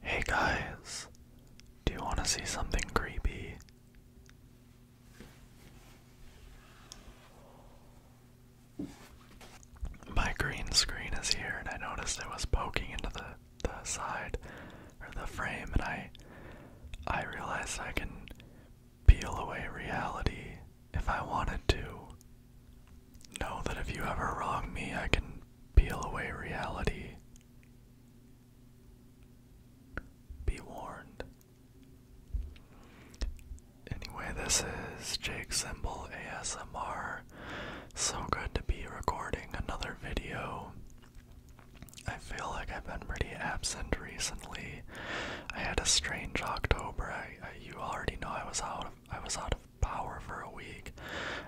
Hey guys, do you want to see something creepy? My green screen is here, and I noticed it was poking into the the side or the frame, and I I realized I can peel away reality if I wanted to. Know that if you ever wrong me, I can peel away reality. Be warned. Anyway, this is Jake Symbol ASMR. So good to be recording another video. I feel like I've been pretty absent recently. I had a strange October. I you already know I was out of I was out of power for a week.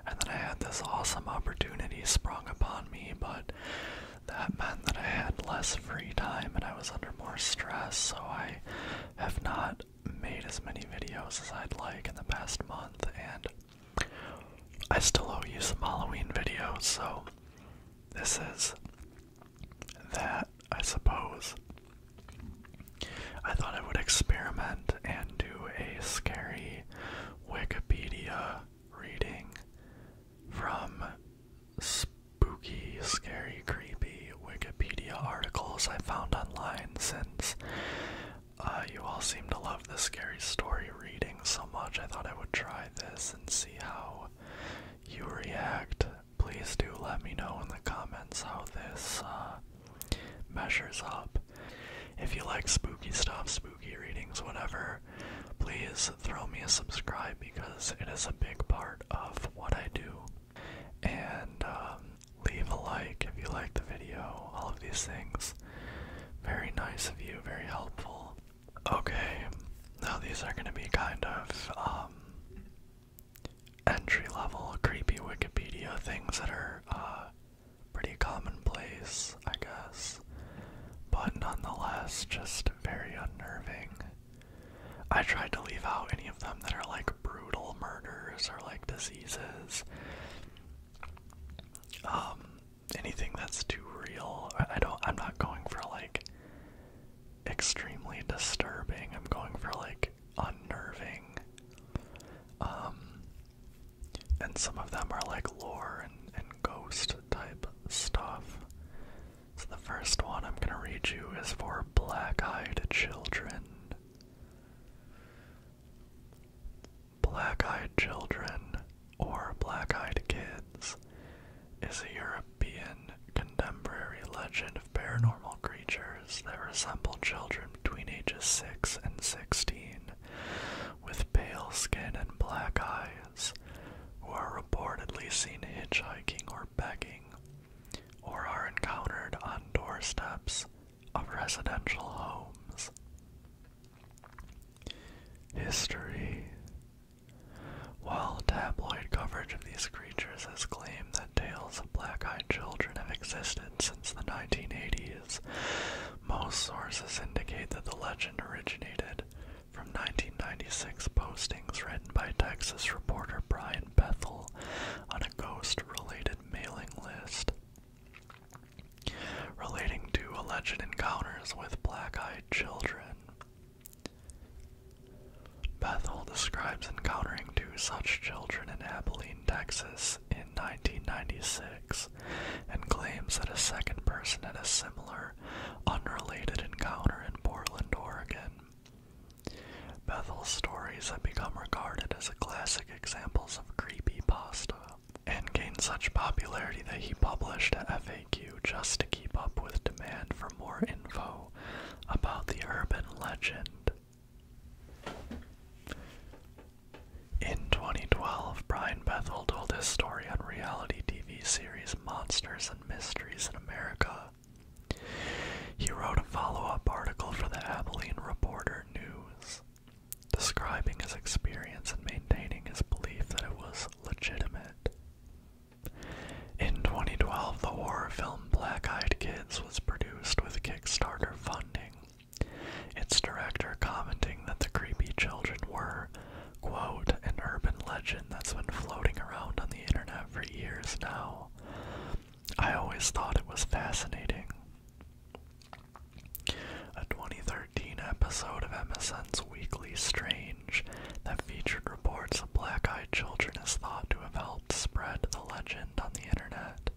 And then I had this awesome opportunity sprung upon me, but that meant that I had less free time and I was under more stress, so I have not made as many videos as I'd like in the past month, and I still owe you some Halloween videos, so this is that, I suppose. I thought I would experiment and do a scary Wikipedia reading from spooky, scary, creepy Wikipedia articles I found online since uh, you all seem to love this scary story reading so much. I thought I would try this and see how you react. Please do let me know in the comments how this uh, measures up. If you like spooky stuff, spooky readings, whatever, please throw me a subscribe because it is a big part of what I do. And um, leave a like if you like the video, all of these things. Very nice of you, very helpful. Okay, now these are going to be kind of um, entry level, creepy Wikipedia things that are uh, pretty commonplace, I guess, but nonetheless, just very unnerving. I tried to leave out any of them that are like brutal murders or like diseases. Um, anything that's too real. I don't. I'm not going for like extremely disturbing. I'm going for like unnerving. Um, and some of them are like lore and, ghost type stuff. So the first one I'm gonna read you is for black eyed children. Black eyed children, or black eyed kids, is a European contemporary legend of paranormal creatures that resemble children between ages 6 and 16 with pale skin and black eyes who are reportedly seen hitchhiking or begging or are encountered on doorsteps of residential homes. History While tabloid coverage of these creatures has claimed that tales of black eyed children have existed since the 1980s, most sources indicate that the legend originated from 1996 postings written by Texas reporter Brian Bethel on a ghost related mailing list relating to alleged encounters with black eyed children. Bethel describes encountering two such children in Abilene, Texas 1996 and claims that a second person had a similar, unrelated encounter in Portland, Oregon. Bethel's stories have become regarded as a classic examples of creepy pasta, and gained such popularity that he published a FAQ just to keep up with demand for more info about the urban legend. In 2012, Brian Bethel told his story on reality TV series Monsters and Mysteries in America. He wrote a follow up article for the Abilene Reporter News, describing his experience and maintaining his belief that it was legitimate. In 2012, the horror film Black Eyed Kids was produced with Kickstarter funding its director commenting that the creepy children were, quote, an urban legend that's been floating around on the internet for years now. I always thought it was fascinating. A 2013 episode of MSN's Weekly Strange that featured reports of black eyed children is thought to have helped spread the legend on the internet.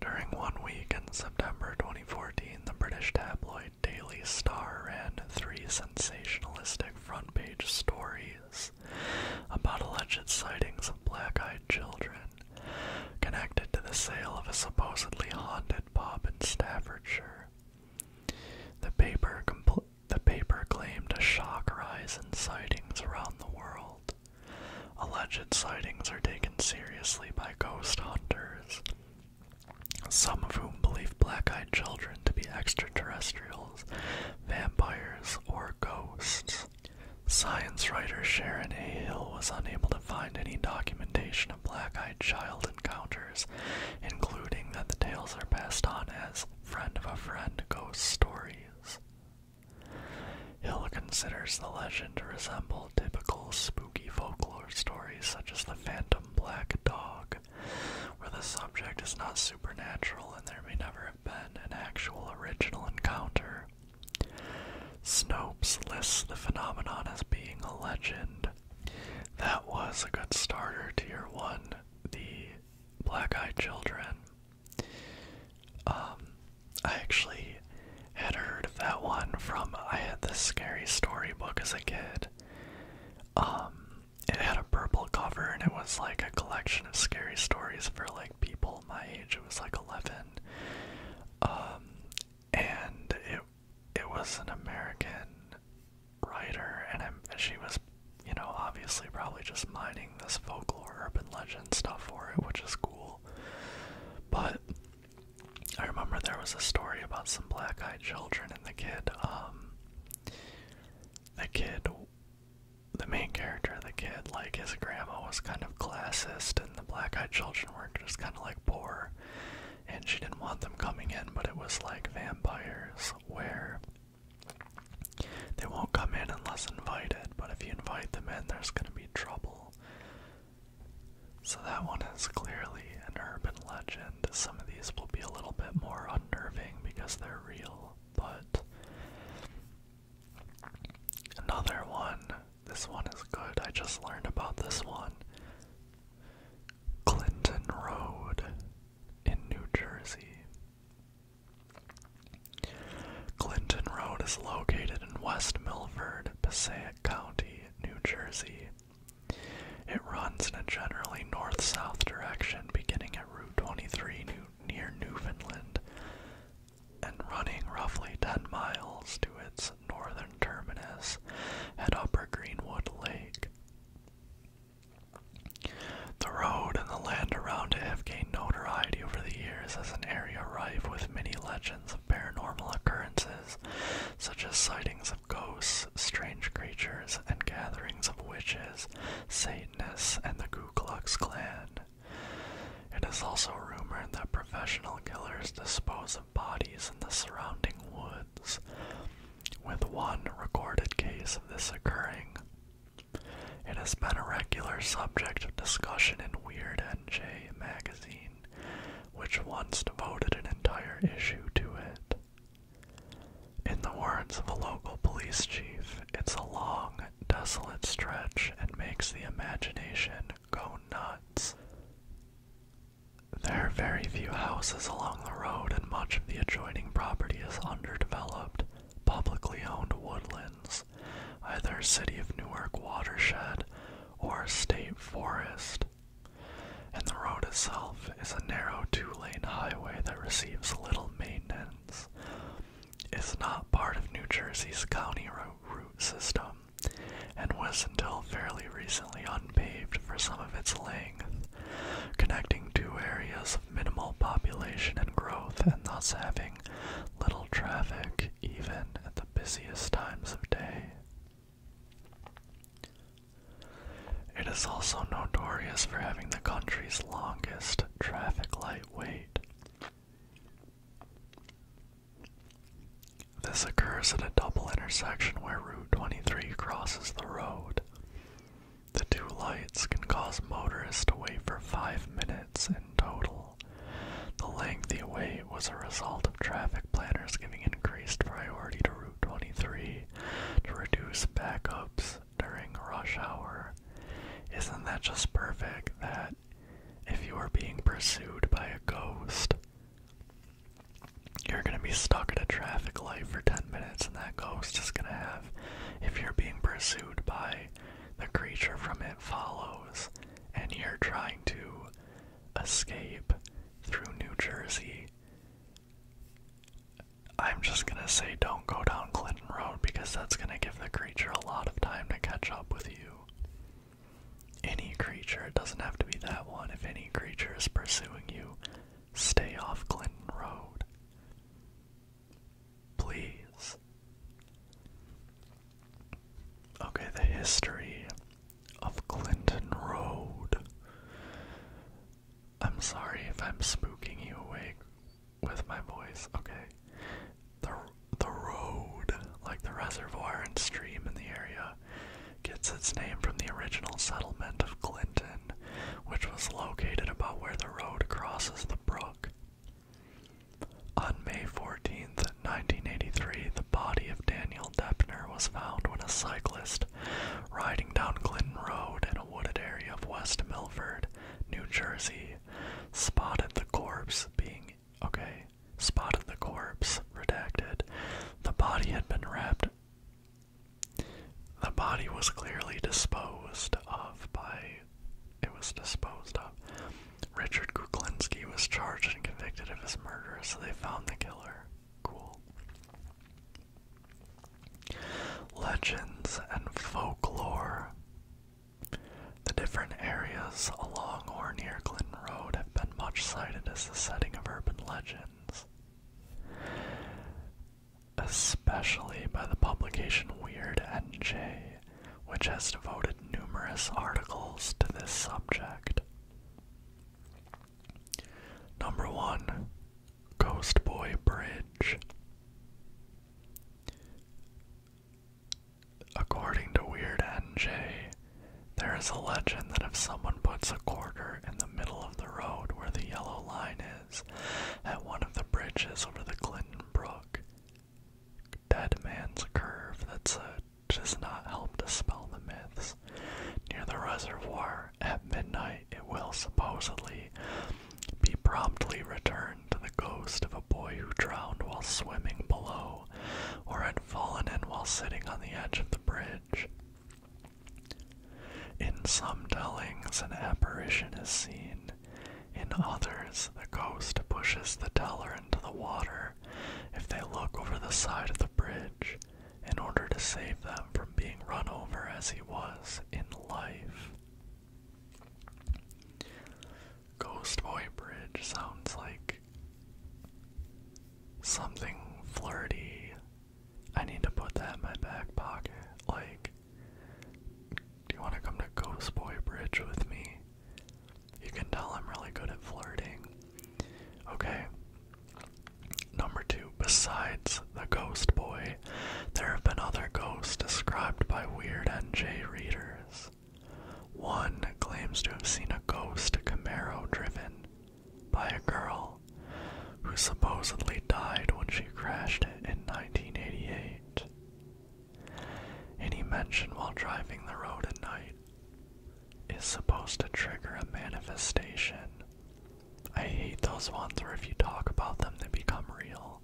During one week in September 2014, the British tabloid Daily Star ran three sensationalistic front page stories about alleged sightings of black eyed children connected to the sale of a supposedly haunted pub in Staffordshire. The paper, claimed a shock rise in sightings around the world. Alleged sightings are taken seriously by ghost hunters, some of whom believe black eyed children to be extraterrestrials, vampires, or ghosts. Science writer Sharon A. Hill was unable to find any documentation of black eyed child encounters, including that the tales are passed on as friend of a friend ghost stories. Hill considers the legend to resemble typical spooky folklore stories such as the Phantom Black Dog, where the subject is not supernatural and there may never have been an actual original encounter. Snopes lists the phenomenon as being a legend. That was a good starter, to your 1, the Black Eyed Children. Um, I actually had heard of that one from I had this scary story book as a kid. Um, it had a purple cover and it was like a collection of scary stories for like people my age. It was like eleven. Um, and it it was an American writer, and i she was, you know, obviously probably just mining this folklore, urban legend stuff for it, which is cool cool. But I remember there was a story about some black-eyed children and the kid, um, the kid, the main character, the kid, like his grandma was kind of classist and the black-eyed children were just kind of like poor and she didn't want them coming in, but it was like vampires where they won't come in unless invited, but if you invite them in, there's gonna be trouble so that one is clearly an urban legend. Some of these will be a little bit more unnerving because they're real, but another one, this one is good. I just learned about this one. Clinton Road in New Jersey. Clinton Road is located in West Milford, Passaic County, New Jersey. It runs in a generally north south direction beginning at Route 23 near Newfoundland and running roughly 10 miles to its northern terminus at Upper Greenwood Lake. The road and the land around it have gained notoriety over the years as an area rife with many legends of paranormal occurrences, such as sightings of ghosts, strange creatures, and gatherings of witches, Satanists, and the Ku Klux Klan. It is also rumored that professional killers dispose of bodies in the surrounding woods, with one recorded case of this occurring. It has been a regular subject of discussion in Weird NJ magazine, which once devoted an entire issue to it. In the words of a local police chief, it's a long, desolate stretch and makes the imagination go nuts. There are very few houses along the road, and much of the adjoining property is underdeveloped, publicly owned woodlands miles, either City of Newark watershed or state forest. And the road itself is a narrow two lane highway that receives little maintenance. It's not part of New Jersey's county route system and was until fairly recently unpaved for some of its length, connecting two areas of minimal population and growth and thus having little traffic even at the busiest times of day. It is also notorious for having the country's longest traffic light wait. This occurs at a double intersection where Route 23 crosses the road. The two lights can cause motorists to wait for five minutes in total. The lengthy wait was a result of traffic planners giving increased priority to Route 23 to reduce backups during rush hour. Isn't that just perfect that if you are being pursued by a ghost, you're gonna be stuck at a traffic light for 10 minutes, and that ghost is gonna have, if you're being pursued by the creature from It Follows, and you're trying to escape through New Jersey, I'm just gonna say don't go down Clinton Road because that's gonna give the creature a lot of time to catch up with you. Any creature, it doesn't have to be that one. If any creature is pursuing you, stay off Clinton Road. Please. Okay, the history of Clinton Road. I'm sorry if I'm spooking you awake with my voice. Okay. The the road, like the reservoir and stream in the area, gets its name from the original settlement of Clinton, which was located about where the road crosses the brook. On May Fourteenth, 1983, the body of Daniel Deppner was found when a cyclist riding down Clinton Road in a wooded area of West Milford, New Jersey, spotted the corpse being okay, spotted the corpse, redacted. The body had been wrapped. The body was clearly disposed of by it was disposed of. Richard Kuklinski was charged and convicted of his murder, so they found the killer. Cool. Legends and folklore. The different areas along or near Clinton Road have been much cited as the setting of urban legends, especially by the publication Weird NJ which has devoted numerous articles to this subject. Number 1 Ghost Boy Bridge. According to Weird NJ, there is a legend that if someone puts a quarter in the middle of the road where the yellow line is, at one of the bridges over the Clinton Brook, Dead Man's Curve, that's does uh, not help dispel the myths. Near the reservoir at midnight, it will supposedly be promptly returned to the ghost of a boy who drowned while swimming below or had fallen in while sitting on the edge of the bridge. In some tellings, an apparition is seen. In others, the ghost pushes the teller into the water if they look over the side of the bridge in order to save them from being run over as he was in life. Ghost Boy Bridge sounds like something flirty. I need to put that in my back pocket. Like, do you want to come to Ghost Boy Bridge with me? You can tell I'm really good at flirting. Okay. Number two, besides the ghost boy, there have been other ghosts described by Weird NJ readers. One claims to have seen a ghost Camaro driven by a girl who supposedly died when she crashed it in 1988. Any mention while driving the road at night is supposed to trigger a manifestation. I hate those ones where if you talk about them, they become real.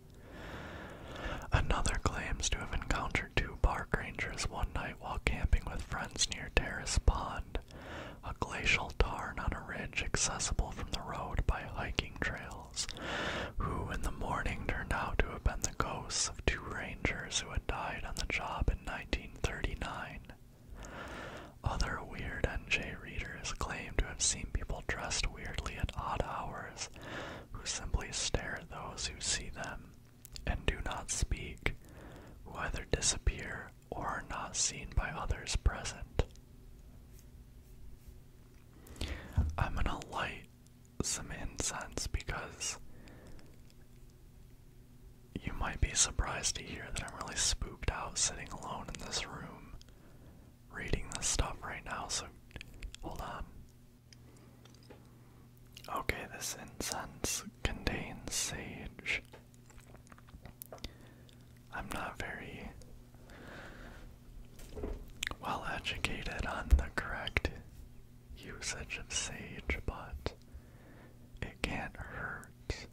Another claims to have encountered two park rangers one night while camping with friends near Terrace Pond, a glacial tarn on a ridge accessible from the road by hiking trails, who in the morning turned out to have been the ghosts of two rangers rangers who had died on the job in 1939. Other Weird NJ readers claim to have seen people dressed weirdly at odd hours who simply stare at those who see them and do not speak, who either disappear or are not seen by others present. I'm gonna light some incense because you might be surprised to hear that I'm really spooked out sitting alone in this room reading this stuff right now, so hold on. Okay, this incense contains sage. I'm not very well educated on the correct usage of sage, but it can't hurt.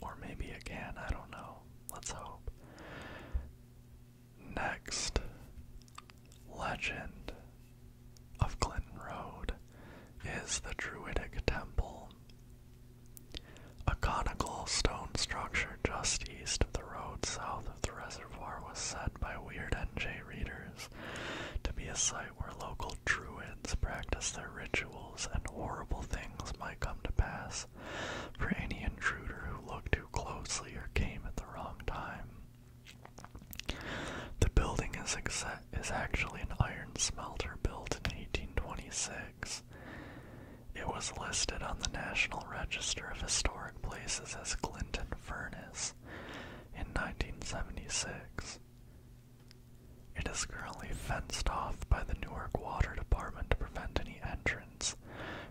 Or maybe it can, I don't know. Let's hope. Next, legend of Clinton Road is the Druidic Temple. A conical stone structure just east of the road south of the reservoir was said by Weird NJ readers to be a site where local druids practiced their rituals and horrible things might come to pass for any intruder who looked too closely or came at the wrong time. The building is, is actually an iron smelter built in 1826. It was listed on the National Register of Historic Places as Clinton Furnace in 1976. It is currently fenced off by the Newark Water Department to prevent any entrance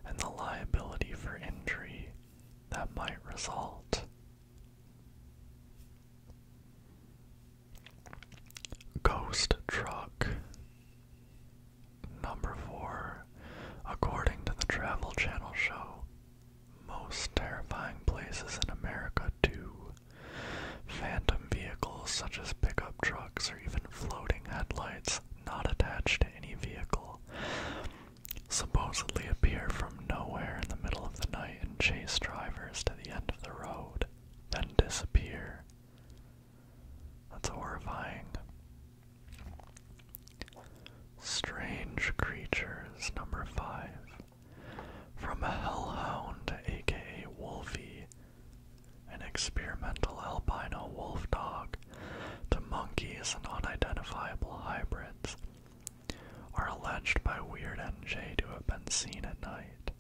and the liability for injury that might result. Ghost Truck. Number 4 according to the Travel Channel show, most terrifying places in America, too. Phantom vehicles such as pickup trucks or even floating headlights not attached to any vehicle supposedly appear from nowhere in the middle of the night and chase drivers to the end of the road, then disappear. That's horrifying. Strange Creatures, number 5. From a Hellhound, aka Wolfie, an experimental albino wolf dog, to monkeys and unidentifiable hybrids, are alleged by Weird NJ to have been seen at night.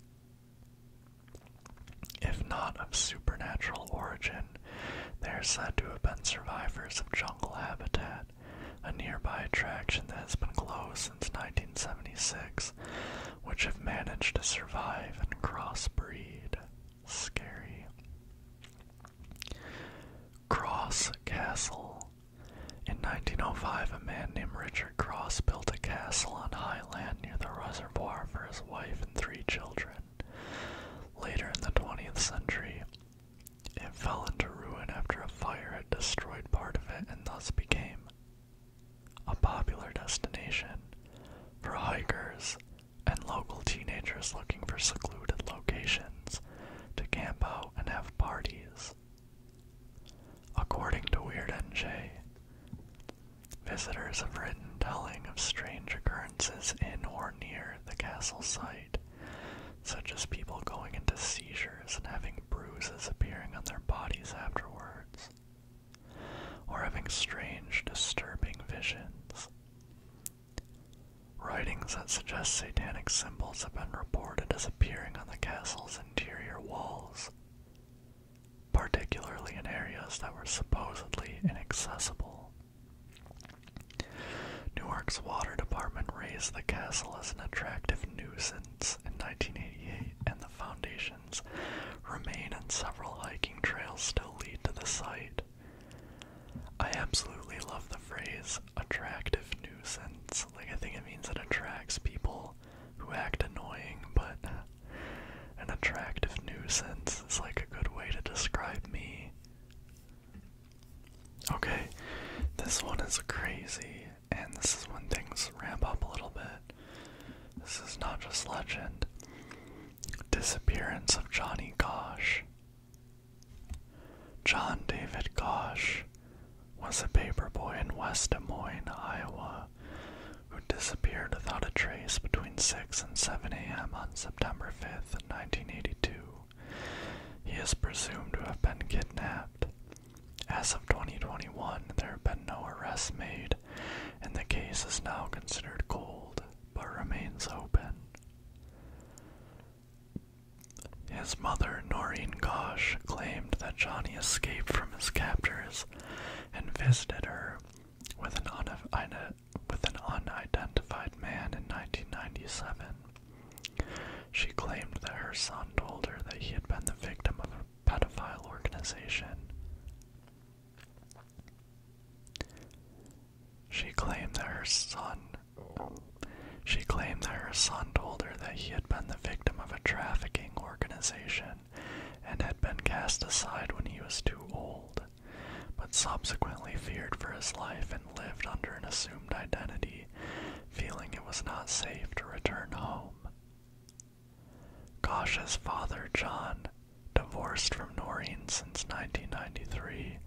If not of supernatural origin, they are said to have been survivors of jungle habitat, a nearby attraction that has been closed since 1976, which have managed to survive and crossbreed. Scary. Cross Castle. In 1905, a man named Richard Cross built a castle on high land near the reservoir for his wife and three children. Later in the 20th century, it fell into ruin after a fire had destroyed part of it and thus became a popular destination for hikers and local teenagers looking for secluded locations to camp out and have parties. According to Weird NJ, visitors have written telling of strange occurrences in or near the castle site such as people going into seizures and having bruises appearing on their bodies afterwards, or having strange, disturbing visions. Writings that suggest satanic symbols have been reported as appearing on the castle's interior walls, particularly in areas that were supposedly inaccessible. Newark's water department raised the castle as an attractive nuisance in 1988, and the foundations remain and several hiking trails still lead to the site. I absolutely love the phrase attractive nuisance. Like, I think it means it attracts people who act annoying, but an attractive nuisance is like a good way to describe me. Okay, this one is crazy, and this is when things ramp up a little bit. This is not just legend. Disappearance of Johnny Gosh. John David Gosh was a paperboy in West Des Moines, Iowa, who disappeared without a trace between 6 and 7 a.m. on September 5, 1982. He is presumed to have been kidnapped. As of 2021, there have been no arrests made, and the case is now considered cold but remains open. His mother, Noreen Gosh, claimed that Johnny escaped from his captors and visited her with an with an unidentified man in 1997. She claimed that her son told her that he had been the victim of a pedophile organization. She claimed that her son she claimed that her son told her that he had been the victim of a trafficking organization and had been cast aside when he was too old, but subsequently feared for his life in lived under an assumed identity, feeling it was not safe to return home. Gosh's father, John, divorced from Noreen since 1993,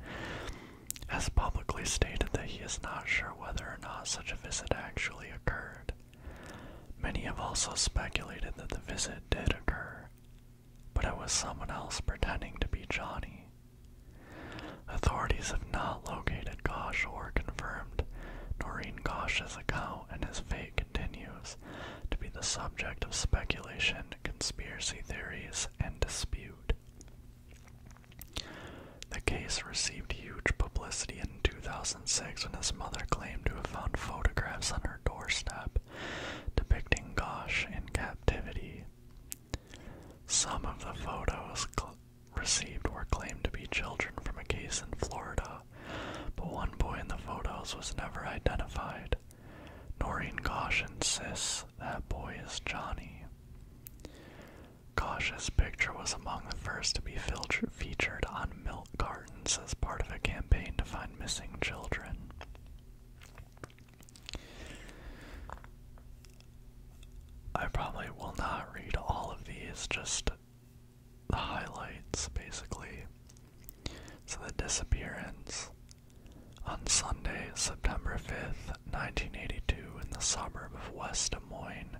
has publicly stated that he is not sure whether or not such a visit actually occurred. Many have also speculated that the visit did occur, but it was someone else pretending to be Johnny. Authorities have not located Gosh or confirmed Noreen Gosh's account, and his fate continues to be the subject of speculation, conspiracy theories, and dispute. The case received huge publicity in 2006 when his mother claimed to have found photographs on her doorstep depicting Gosh in captivity. Some of the photos received were claimed to be children from a case in Florida, but one boy in the photos was never identified. Noreen Gosh insists that boy is Johnny. Gosh's picture was among the first to be featured on milk Gardens as part of a campaign to find missing children. I probably will not read all of these, just the highlights basically. So, the disappearance on Sunday, September 5th, 1982, in the suburb of West Des Moines,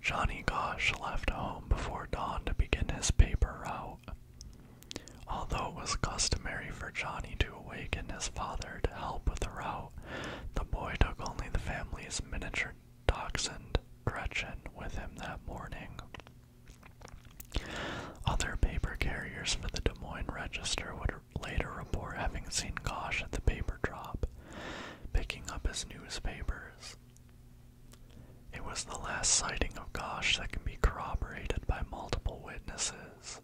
Johnny Gosh left home before dawn to begin his paper route. Although it was customary for Johnny to awaken his father to help with the route, the boy took only the family's miniature dachshund, Gretchen, with him that morning. Other paper carriers for the Des Moines Register would later report having seen Gosh at the paper drop, picking up his newspapers. It was the last sighting of Gosh that can be corroborated by multiple witnesses.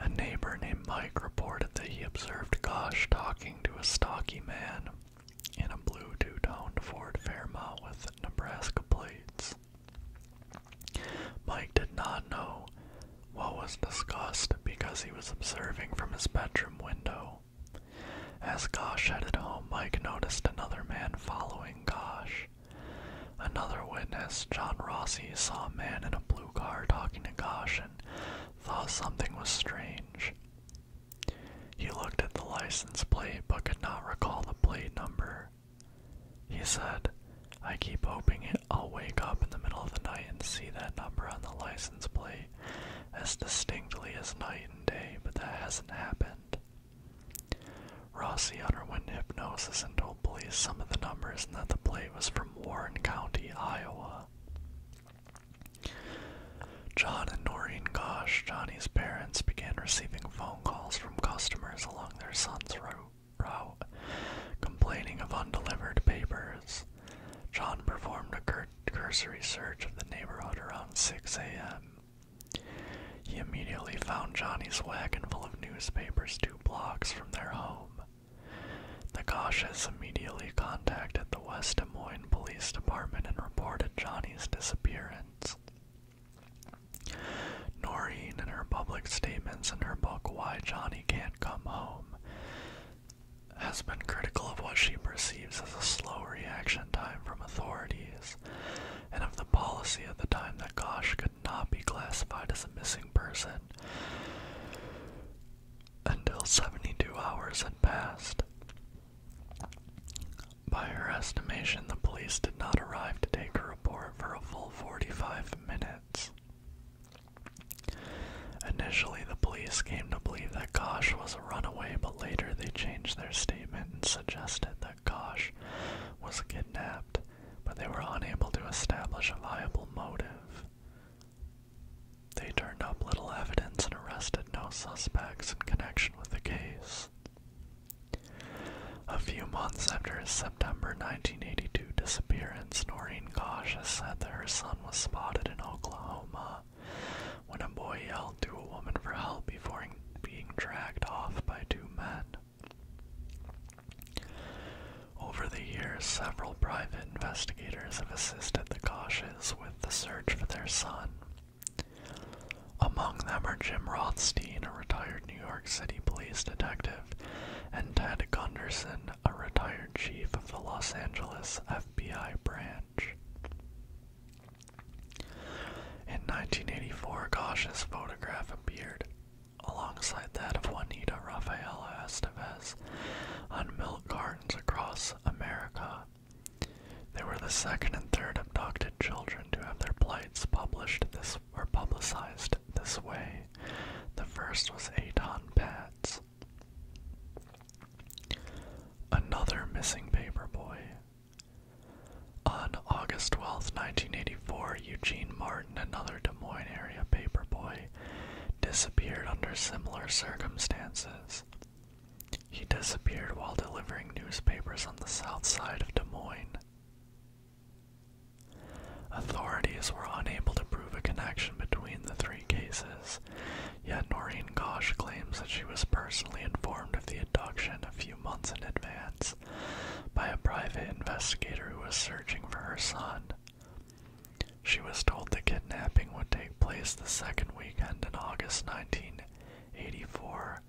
A neighbor named Mike reported that he observed Gosh talking to a stocky man in a blue two toned Ford Fairmount with Nebraska plates. Mike did not know what was discussed because he was observing from his bedroom window. As Gosh headed home, Mike noticed another man following Gosh. Another witness, John Rossi, saw a man in a blue car talking to Gosh and thought something was strange. He looked at the license plate but could not recall the plate number. He said, I keep hoping I'll wake up in the middle of the night and see that number on the license plate as distinctly as night and day, but that hasn't happened. Rossi underwent hypnosis and told police some of the numbers and that the plate was from Warren County, Iowa. John and Noreen Gosh, Johnny's parents, began receiving phone calls from customers along their son's route, complaining of undelivered papers. John performed a cursory search of the neighborhood around 6 a.m. He immediately found Johnny's wagon full of newspapers, too blocks from their home. The has immediately contacted the West Des Moines Police Department and reported Johnny's disappearance. Noreen, in her public statements in her book Why Johnny Can't Come Home, has been critical of what she perceives as a slow reaction time from authorities and of the policy at the time that Gosh could not be classified as a missing person until 72 hours had passed. By her estimation, the police did not arrive to take her report for a full 45 minutes. Initially, the police came to believe that Gosh was a runaway, but later they changed their statement and suggested that Gosh was kidnapped but they were unable to establish a viable motive. They turned up little evidence and arrested no suspects in connection with the case. A few months after his September 1982 disappearance, Noreen Cautious said that her son was spotted in Oklahoma when a boy yelled to a woman for help before being dragged off by two men. Over the years, several private investigators have assisted the Koshes with the search for their son. Among them are Jim Rothstein, a retired New York City police detective, and Ted Gunderson, a retired chief of the Los Angeles FBI branch. In 1984, Gosh's photograph appeared alongside that of Juanita Rafaela Estevez on milk gardens across America. They were the second and third abducted children to have their plights published this or publicized this way. The first was Aton Patz, Another missing paperboy. On August 12, 1984, Eugene Martin another Des Moines area paperboy, disappeared under similar circumstances. He disappeared while delivering newspapers on the south side of Des Moines. Authorities were unable to prove a connection between the three cases, yet Noreen Gosh claims that she was personally informed of the abduction a few months in advance by a private investigator who was searching for her son. She was told the kidnapping would take place the second weekend in August 1984,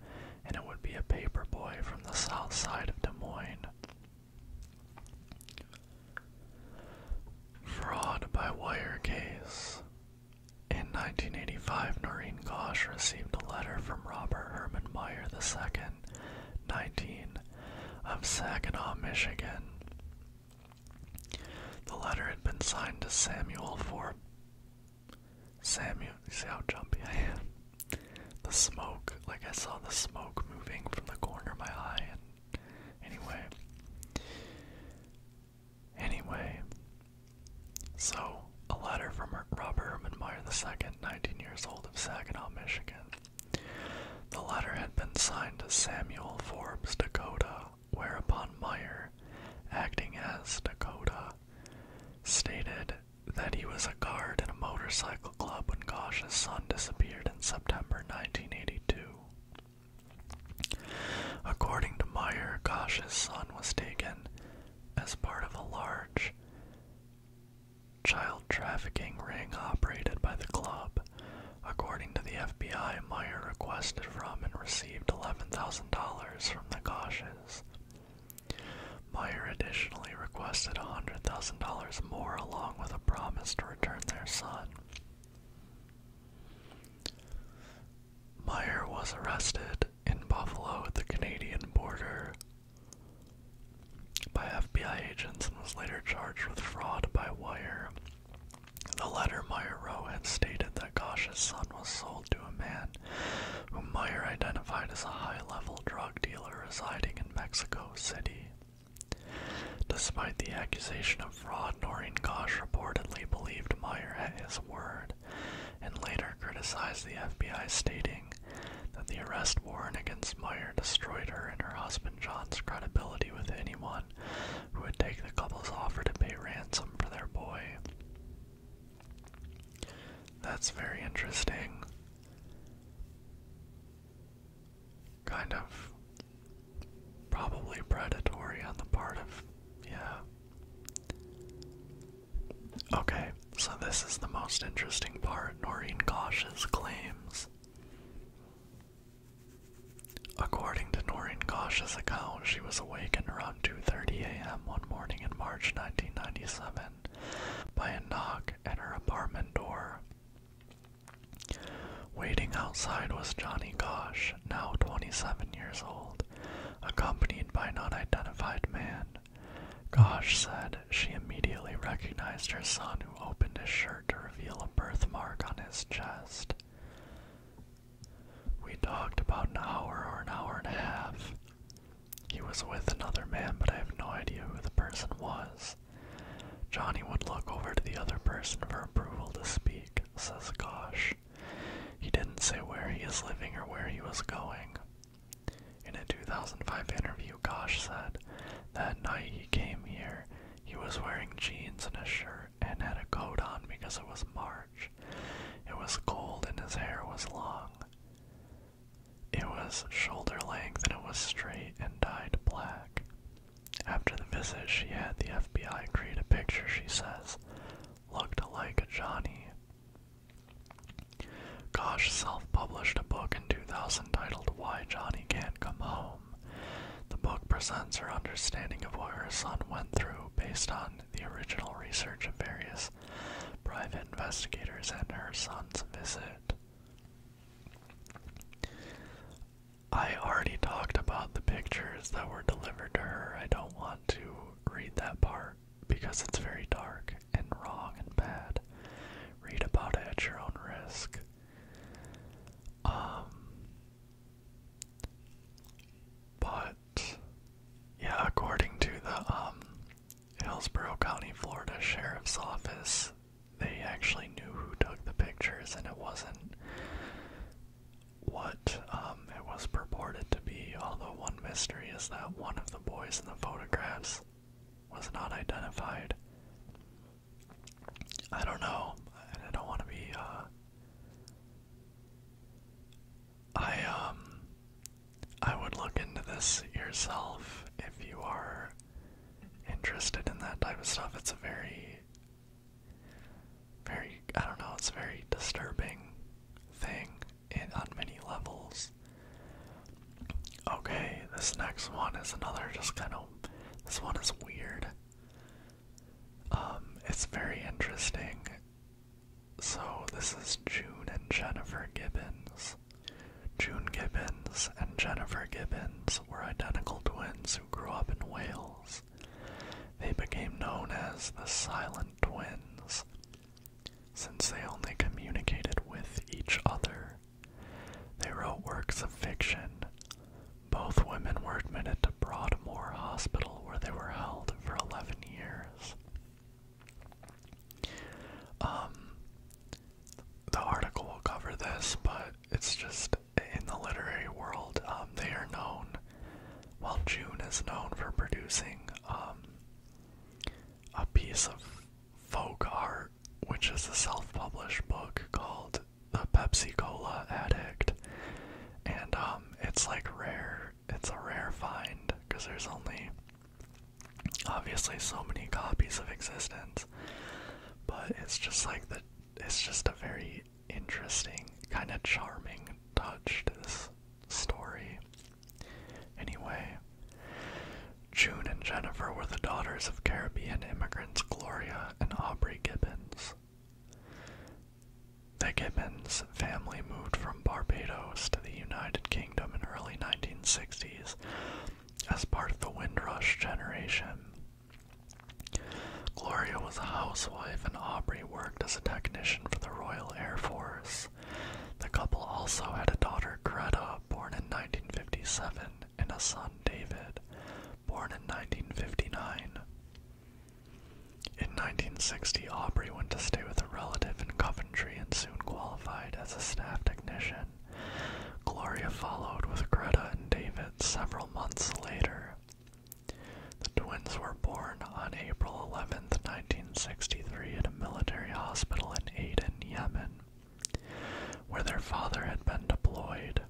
and it would be a paper boy from the south side of Des Moines. Fraud by wire case. In 1985, Noreen Gosh received a letter from Robert Herman Meyer the second, 19, of Saginaw, Michigan. The letter had been signed to Samuel for Samuel. See how jumpy I am? The smoke, like I saw the smoke moving from the corner of my eye. And anyway, anyway, so a letter from Robert Herman Meyer the second, 19 years old, of Saginaw, Michigan. The latter had been signed to Samuel Forbes Dakota, whereupon Meyer, acting as Dakota, stated that he was a guard in a motorcycle club when Gosh's son disappeared in September 1982. According to Meyer, Gosh's son was taken as part of a large child trafficking ring operated by the club. According to the FBI, Meyer requested from and received $11,000 from the Goshes. Meyer additionally requested $100,000 more along with a promise to return their son. Meyer was arrested in Buffalo at the Canadian border by FBI agents and was later charged with fraud by wire. The letter Meyer wrote had stated that Gosh's son was sold to a man whom Meyer identified as a high level drug dealer residing in Mexico City. Despite the accusation of fraud, Noreen Gosh reportedly believed Meyer at his word and later criticized the FBI, stating, that the arrest warrant against Meyer destroyed her and her husband John's credibility with anyone who would take the couple's offer to pay ransom for their boy. That's very interesting. Kind of probably predatory on the part of. Yeah. Okay, so this is the most interesting part Noreen Kosh's claims According to Noreen Gosh's account, she was awakened around 2:30 a.m. one morning in March 1997 by a knock at her apartment door. Waiting outside was Johnny Gosh, now 27 years old, accompanied by an unidentified man. Gosh said she immediately recognized her son, who opened his shirt to reveal a birthmark on his chest. We talked about an hour or an hour and a half. He was with another man, but I have no idea who the person was. Johnny would look over to the other person for approval to speak, says Gosh. He didn't say where he is living or where he was going. In a 2005 interview, Gosh said, that night he came here, he was wearing jeans and a shirt and had a coat on because it was March. It was cold and his hair was long. It was shoulder length and it was straight and dyed black. After the visit, she had the FBI create a picture she says looked like Johnny. Gosh self published a book in 2000 titled Why Johnny Can't." come home. The book presents her understanding of what her son went through based on the original research of various private investigators and her son's visit. I already talked about the pictures that were delivered to her. I don't want to read that part because it's very dark and wrong and bad. Read about it at your own risk. Um, but yeah, according to the um, Hillsborough County, Florida Sheriff's Office, they actually knew who took the pictures, and it wasn't what um, it was purported to be. Although one mystery is that one of the boys in the photographs was not identified. I don't know, I don't want to be. Uh, I um, I would look into this yourself if you are interested in that type of stuff. It's a very, very I don't know. It's a very disturbing thing in on many levels. Okay, this next one is another just kind of. This one is weird. Um, it's very interesting. So, this is June and Jennifer Gibbons. June Gibbons and Jennifer Gibbons were identical twins who grew up in Wales. They became known as the Silent Twins since they only communicated with each other. They wrote works of fiction. Both women were admitted to Broadmoor Hospital, where they were held for 11 years. Um, the article will cover this, but it's just in the literary world, um, they are known. While June is known for producing um, a piece of folk art which is a self published book called The Pepsi Cola Addict. And um, it's like rare, it's a rare find because there's only obviously so many copies of Existence. But it's just like the, it's just a very interesting, kind of charming touch to this story. Anyway, June and Jennifer were the daughters of Caribbean immigrants Gloria and Aubrey Gibbons. The Gibbons family moved from Barbados to the United Kingdom in early 1960s as part of the Windrush generation. Gloria was a housewife and Aubrey worked as a technician for the Royal Air Force. The couple also had a daughter, Greta, born in 1957 and a son, David, born in 1959. In 1960, Aubrey went to stay with a relative in Coventry and soon qualified as a staff technician. Gloria followed with Greta and David several months later. The twins were born on April eleventh, nineteen 1963, at a military hospital in Aden, Yemen where their father had been deployed.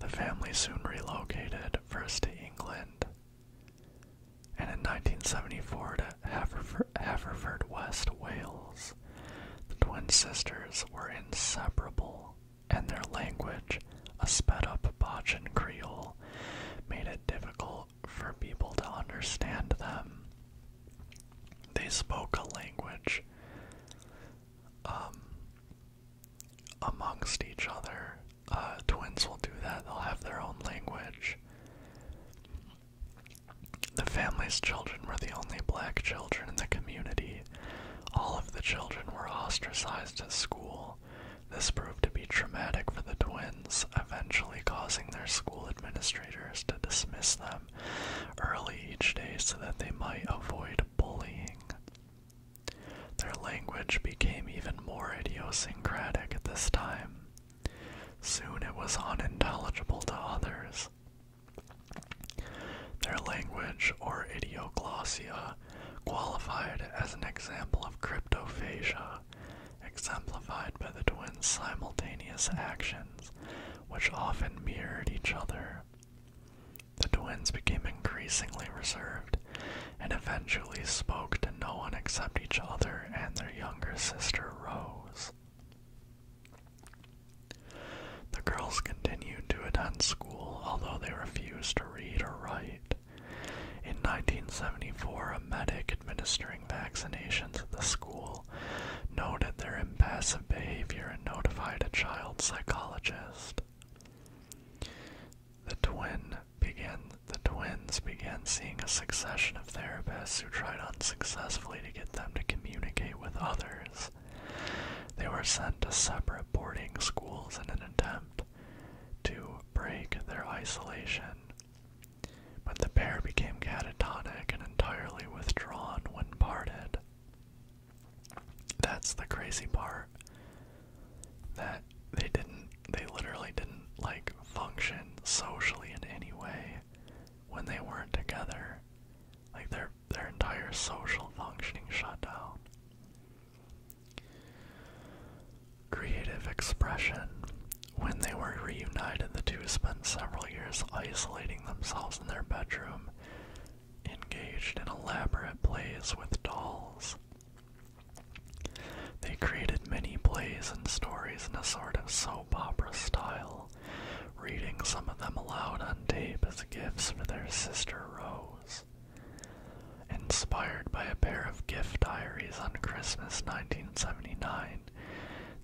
The family soon relocated, first to England, and in 1974 to Haverford, West, Wales. The twin sisters were inseparable, and their language, a sped up Bachan Creole, made it difficult for people to understand them. They spoke a language um, amongst each other. Uh, twins will do that, they'll have their own language. The family's children were the only black children in the community. All of the children were ostracized at school. This proved to be traumatic for the twins, eventually causing their school administrators to dismiss them early each day so that they might avoid bullying. Their language became even more idiosyncratic at this time. Soon it was unintelligible to others. Their language, or idioglossia, qualified as an example of cryptophasia, exemplified by the twins' simultaneous actions which often mirrored each other. The twins became increasingly reserved and eventually spoke to no one except each other and their younger sister Rose. The girls continued to attend school, although they refused to read or write. In 1974, a medic administering vaccinations at the school noted their impassive behavior and notified a child psychologist. The twin began the twins began seeing a succession of therapists who tried unsuccessfully to get them to communicate with others. They were sent to separate boarding schools in an attempt to break their isolation. But the pair became catatonic and entirely withdrawn when parted. That's the crazy part. That they didn't, they literally didn't like function socially in any way when they weren't together. Like their their entire social functioning shut down. Creative expression. When they were reunited, the two spent several years isolating themselves in their bedroom, engaged in elaborate plays with dolls. They created many plays and stories in a sort of soap opera style, reading some of them aloud on tape as gifts for their sister Rose. Inspired by a pair of gift diaries on Christmas 1979,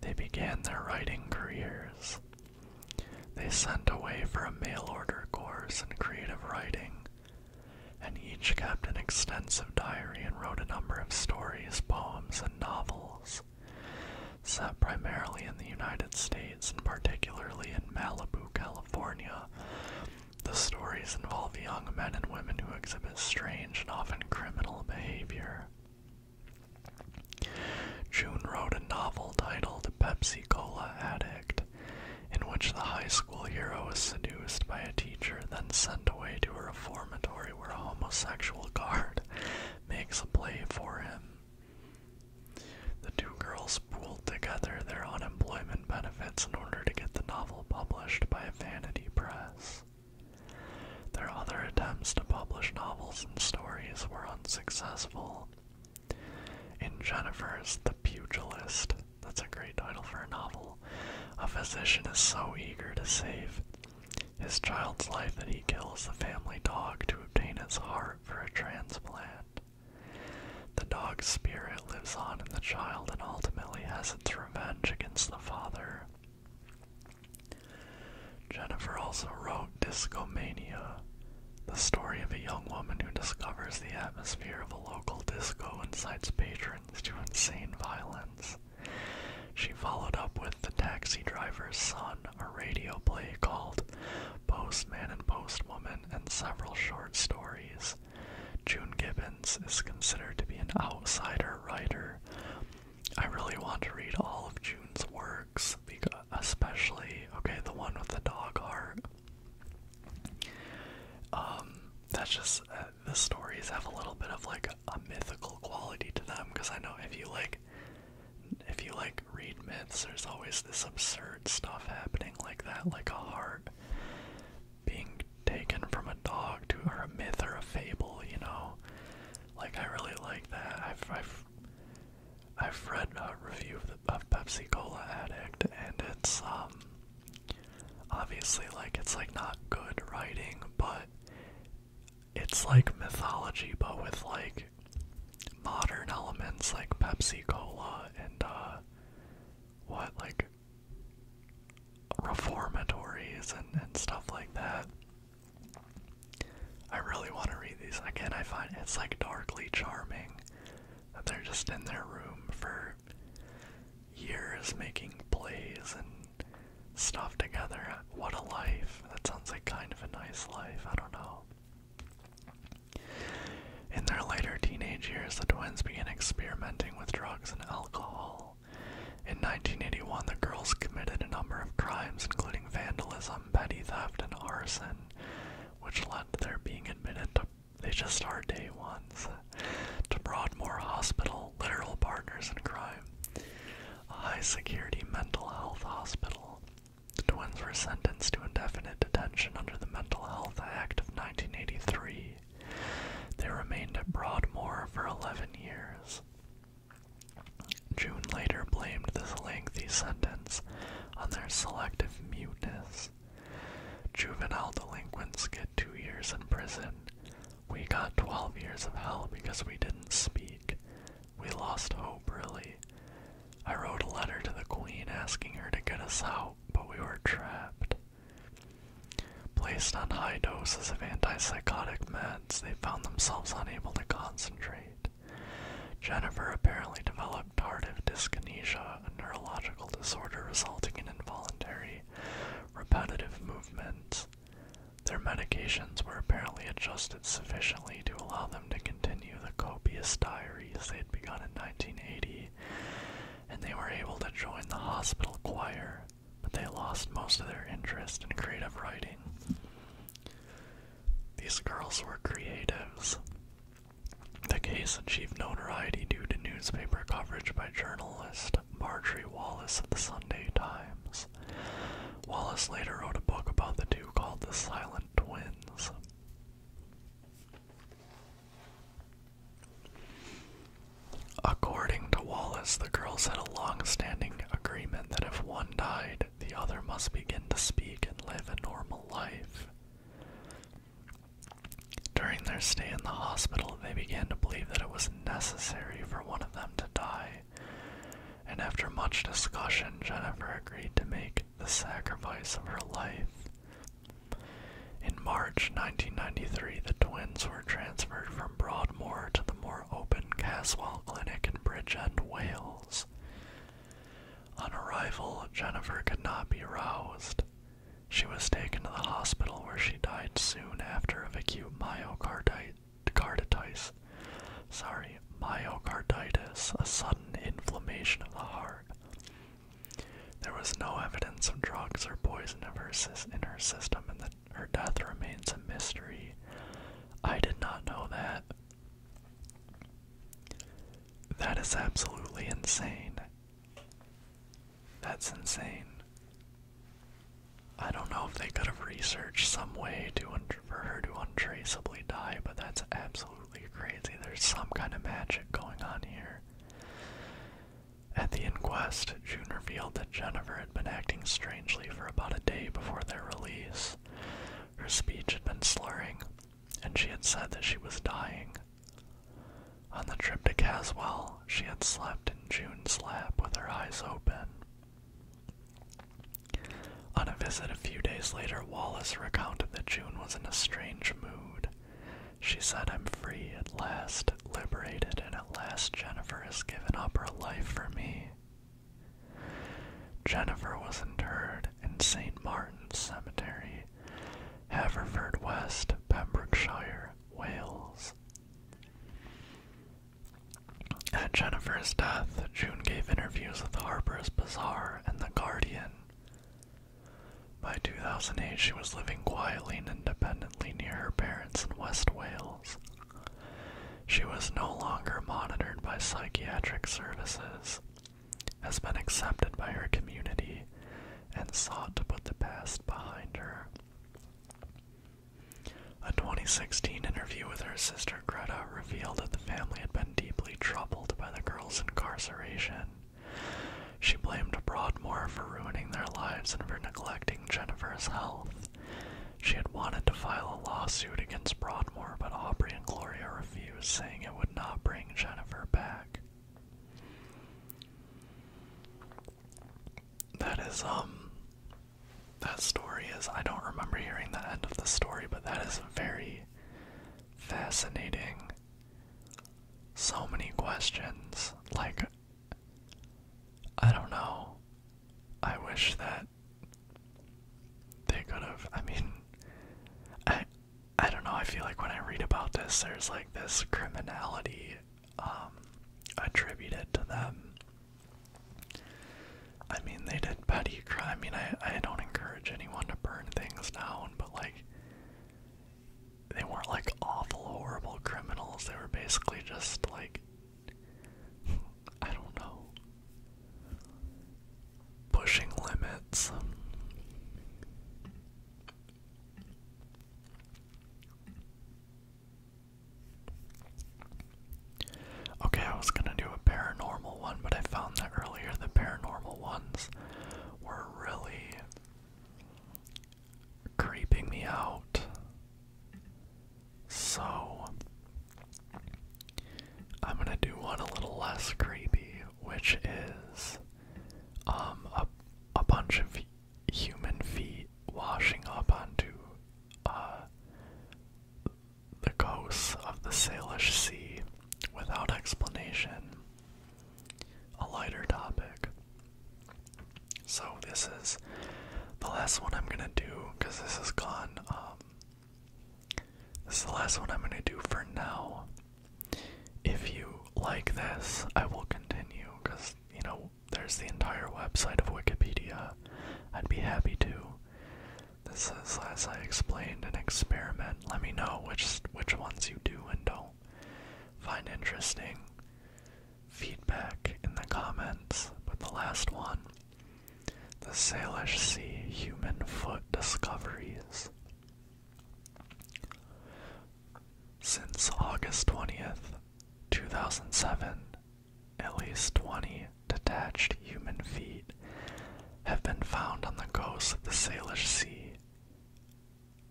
they began their writing careers. They sent away for a mail order course in creative writing, and each kept an extensive diary and wrote a number of stories, poems, and novels, set primarily in the United States and particularly in Malibu, California. The stories involve young men and women who exhibit strange and often criminal behavior. June wrote a novel titled Pepsi Cola Addict, in which the high school hero is seduced by a teacher, then sent away to a reformatory where a homosexual guard makes a play for him. The two girls pooled together their unemployment benefits in order to get the novel published by a Vanity Press. Their other attempts to publish novels and stories were unsuccessful. In Jennifer's The Pugilist, that's a great title for a novel, a physician is so eager to save his child's life that he kills the family dog to obtain his heart for a transplant. The dog's spirit lives on in the child and ultimately has its revenge against the father. Jennifer also wrote Discomania, the story of a young woman who discovers the atmosphere of a local disco incites patrons to insane violence. She followed up with The Taxi Driver's Son, a radio play called Postman and Postwoman, and several short stories. June Gibbons is considered to be an outsider writer. I really want to read all of June's works because especially okay, the one with the dog heart. Um, that's just uh, the stories have a little bit of like a mythical quality to them because I know if you like, if you like read myths, there's always this absurd stuff happening like that, like a heart being taken from a dog to or a myth or a fable, you know. Like I really like that. I've I've read a review of, the, Pepsi Cola Addict, and it's um, obviously like it's like not good writing, but it's like mythology, but with like modern elements like Pepsi Cola and uh what like reformatories and stuff like that. I really want to read these again. I find it's like darkly charming that they're just in their room for years making plays and stuff together. What a life! That sounds like kind of a nice life. I don't know. In their later teenage years, the twins began experimenting with drugs and alcohol. In 1981, the girls committed a number of crimes, including vandalism, petty theft, and arson, which led to their being admitted to they just are day ones to Broadmoor Hospital, literal partners in crime, a high security mental health hospital. The twins were sentenced to indefinite detention under the Mental Health Act of 1983. They remained at Broadmoor for 11 years. June later blamed this lengthy sentence on their selective muteness. Juvenile delinquents get two years in prison. We got 12 years of hell because we didn't speak. We lost hope, really. I wrote a letter to the Queen asking her to get us out, but we were trapped. Placed on high doses of antipsychotic meds, they found themselves unable to concentrate. Jennifer apparently developed tardive dyskinesia, a neurological disorder resulting in involuntary, repetitive movements. Their medications were apparently adjusted sufficiently to allow them to continue the copious diaries they had begun in 1980, and they were able to join the hospital choir, but they lost most of their interest in creative writing. These girls were creatives. The case achieved notoriety due to newspaper coverage by journalist Marjorie Wallace of the Sunday Times. Wallace later wrote a book about the two called The Silent Twins. According to Wallace, the girls had a long standing agreement that if one died, the other must begin to speak and live a normal life. During their stay in the hospital, they began to believe that it was necessary for one of them to die, and after much discussion, Jennifer agreed to make the sacrifice of her life. In March 1993, the twins were transferred from Broadmoor to the more open Caswall Clinic in Bridgend, Wales. On arrival, Jennifer could not be roused. She was taken to the hospital where she died soon after of acute myocarditis. Sorry, myocarditis, a sudden inflammation of the heart. There was no evidence of drugs or poison of in her system, and her death remains a mystery. I did not know that. That is absolutely insane. That's insane. I don't know if they could have researched some way to for her to untraceably die, but that's absolutely crazy. There's some kind of magic going on here. At the inquest, June revealed that Jennifer had been acting strangely for about a day before their release. Her speech had been slurring, and she had said that she was dying. On the trip to Caswell, she had slept in June's lap with her eyes open. On a visit a few days later, Wallace recounted that June was in a strange mood. She said, I'm free at last, liberated, and at last Jennifer has given up her life for me. Jennifer was interred in St. Martin's Cemetery, Haverfordwest, Pembrokeshire, Wales. At Jennifer's death, June gave interviews with Harper's Bazaar and The Guardian. By 2008, she was living quietly and independently near her parents in West Wales. She was no longer monitored by psychiatric services has been accepted by her community and sought to put the past behind her. A 2016 interview with her sister Greta revealed that the family had been deeply troubled by the girl's incarceration. She blamed Broadmoor for ruining their lives and for neglecting Jennifer's health. She had wanted to file a lawsuit against Broadmoor, but Aubrey and Gloria refused. He was saying it would not bring Jennifer back. That is, um, that story is, I don't remember hearing the end of the story, but that is very fascinating. So many questions. Like, I don't know. I wish that they could have. I mean, I I don't know. I feel like when I read about this, there's like this criminality um, attributed to them. I mean, they did petty crime. I mean, I I don't encourage anyone to burn things down, but like they weren't like awful, horrible criminals. They were basically just like I don't know. Pushing limits. Okay, I was gonna do a paranormal one, but I found that earlier the paranormal ones were really creeping me out. So I'm gonna do one a little less creepy, which is um a a bunch of human feet washing up onto uh the coasts of the Salish Sea without explanation. A lighter topic. So this is the last one I'm gonna do because this has gone um this is the last one I'm going to do for now. If you like this, I will continue because, you know, there's the entire website of Wikipedia. I'd be happy to. This is, as I explained, an experiment. Let me know which which ones you do and don't find interesting. Feedback in the comments. But the last one the Salish Sea Human Foot Discoveries. Since August 20th, 2007, at least 20 detached human feet have been found on the coast of the Salish Sea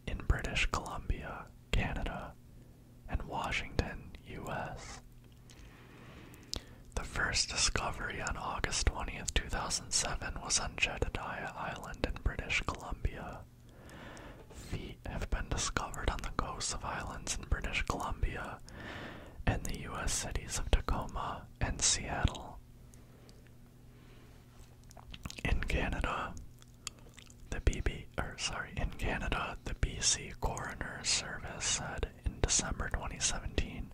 in British Columbia, Canada, and Washington, U.S. The first discovery on August 20th, 2007 was on Jedediah Island in British Columbia. Feet have been discovered on the coasts of islands in British Columbia and the U.S. cities of Tacoma and Seattle. In Canada, the BB, or sorry, in Canada, the BC Coroner's Service said in December 2017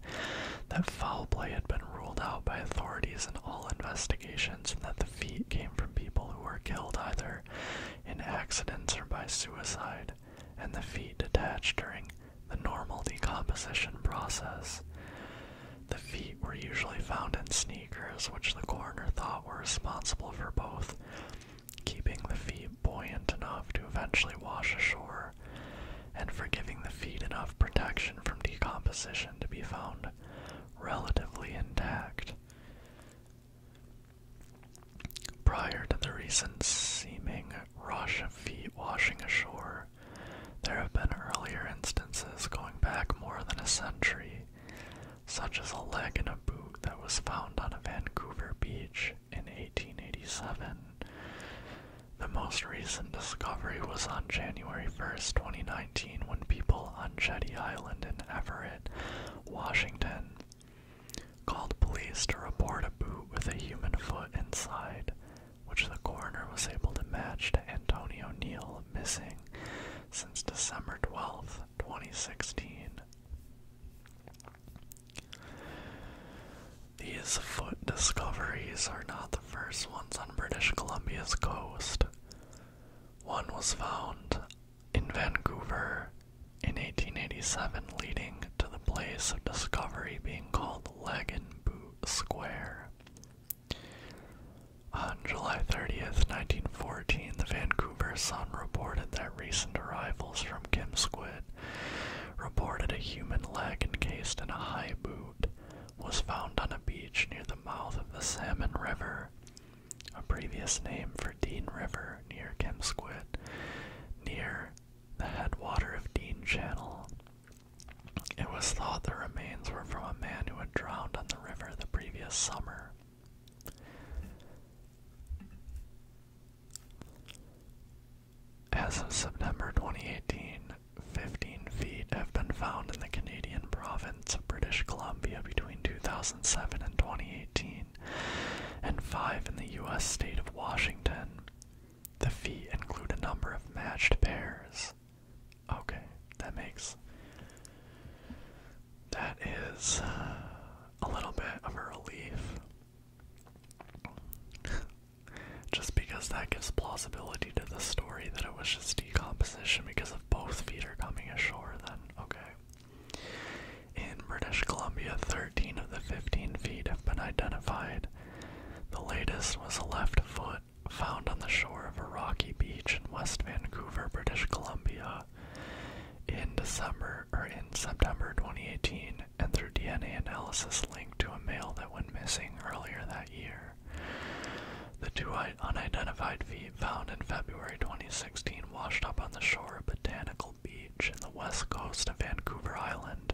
that foul play had been ruled out by authorities in all investigations and that the feet came from people who were killed either in accidents or by suicide, and the feet detached during the normal decomposition process. The feet were usually found in sneakers, which the coroner thought were responsible for both keeping the feet buoyant enough to eventually wash ashore and for giving the feet enough protection from decomposition to be found relatively intact. Prior to the recent seeming rush of feet washing ashore, there have been earlier instances going back more than a century, such as a leg in a boot that was found on a Vancouver beach in 1887. The most recent discovery was on January 1st, 2019, when people on Jetty Island in Everett, Washington, called police to report a boot with a human foot inside, which the coroner was able to match to Antonio Neal missing since December 12th, 2016. These foot discoveries are not the first ones on British Columbia's coast. One was found in Vancouver in 1887, leading to the place of discovery being called Boot Square. On July 30th, 1914, the Vancouver Sun reported that recent arrivals from Kim Squid reported a human leg encased in a high boot was found on a beach near the mouth of the Salmon River, a previous name for Dean River near Kemsquit, near the headwater of Dean Channel. It was thought the remains were from a man who had drowned on the river the previous summer. As of September 2018, 15 feet have been found in the Canadian province of British Columbia between 2007 and 2018, and 5 in the U.S. state of Washington. The feet include a number of matched pairs. Okay, that makes. That is uh, a little bit of a relief. Just because that gives plausibility to the story that it was just decomposition because of both feet are coming ashore, then okay. In British Columbia, 13 of the 15 feet have been identified. The latest was a left foot found on the shore of a rocky beach in West Vancouver, British Columbia in December or in September 2018 and through DNA analysis linked to a male that went missing earlier that the two unidentified feet found in February 2016 washed up on the shore of Botanical Beach in the west coast of Vancouver Island,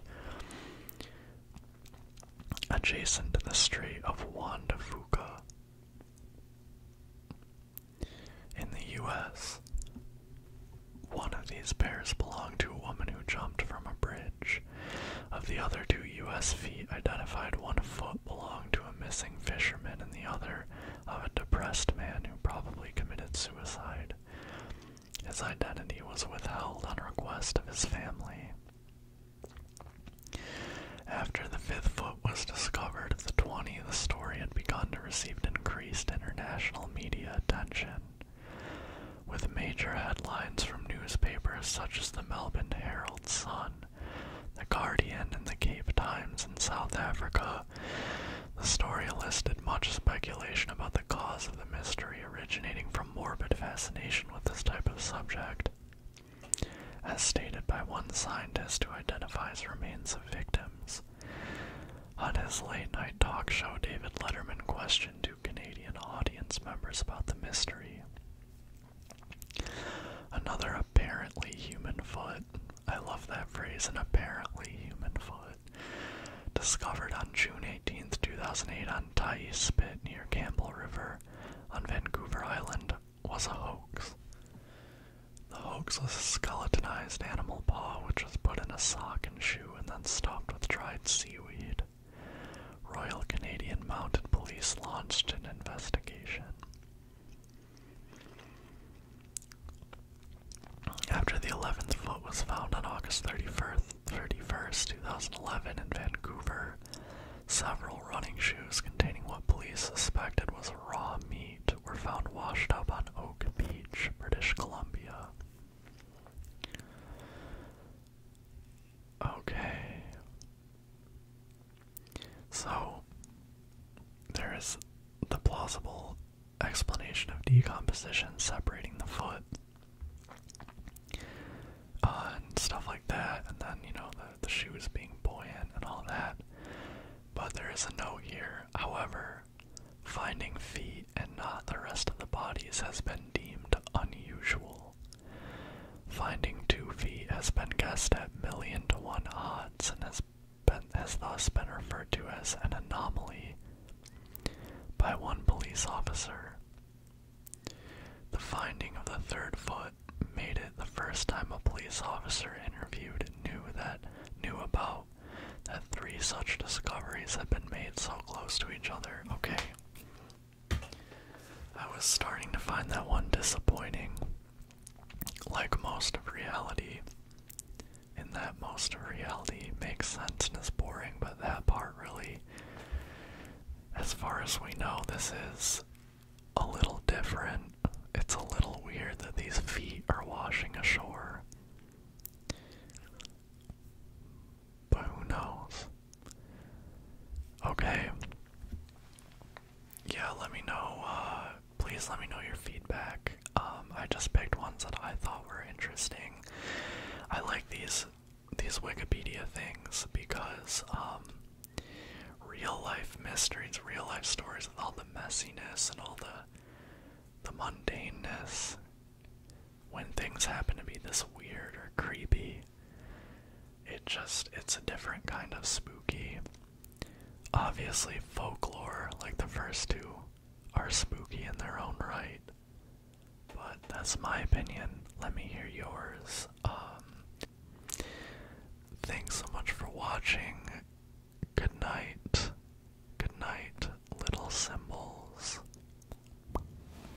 adjacent to the Strait of Juan de Fuca. In the US, one of these pairs belonged to a woman who jumped from a bridge. Of the other two U.S. feet identified, one foot belonged to a missing fisherman and the other of a depressed man who probably committed suicide. His identity was withheld on request of his family. After the fifth foot was discovered of the 20, the story had begun to receive increased international media attention with major headlines from newspapers such as the Melbourne Herald Sun, The Guardian, and the Cape Times in South Africa. The story elicited much speculation about the cause of the mystery originating from morbid fascination with this type of subject. As stated by one scientist who identifies remains of victims. On his late night talk show, David Letterman questioned to Canadian audience members about the mystery. Another apparently human foot, I love that phrase, an apparently human foot, discovered on June 18, 2008 on Tai's Spit near Campbell River on Vancouver Island, was a hoax. The hoax was a skeletonized animal paw which was put in a sock and shoe and then stuffed with dried seaweed died. Royal Canadian Mounted Police launched an investigation. After the 11th foot was found on August 31st, 2011, in Vancouver, several running shoes containing what police suspected was raw meat were found washed up on Oak Beach, British Columbia. Okay. So, there is the plausible explanation of decomposition separating the foot uh, and stuff like that, and then, you know, the, the shoes being buoyant and all that. But there is a note here. However, finding feet and not the rest of the bodies has been deemed unusual. Finding two feet has been guessed at million to one odds and has, has thus been referred to as an anomaly by one police officer. The finding of the third foot made it the first time a police officer interviewed knew that knew about that three such discoveries had been made so close to each other. Okay. I was starting to find that one disappointing. Like most of reality, in that most of reality makes sense and is boring, but that part really, as far as we know, this is a little different. It's a little weird that these feet are washing ashore. But who knows? Okay. Yeah, let me know, uh, please let me know your feedback. Um, I just picked ones that I thought were interesting. I like these these Wikipedia things because um, real life mysteries, real life stories with all the messiness and all the the mundaneness when things happen to be this weird or creepy, it just it's a different kind of spooky. Obviously, folklore like the first two are spooky in their own right. But that's my opinion. Let me hear yours. Um, thanks so much for watching. Good night. Good night, little symbols.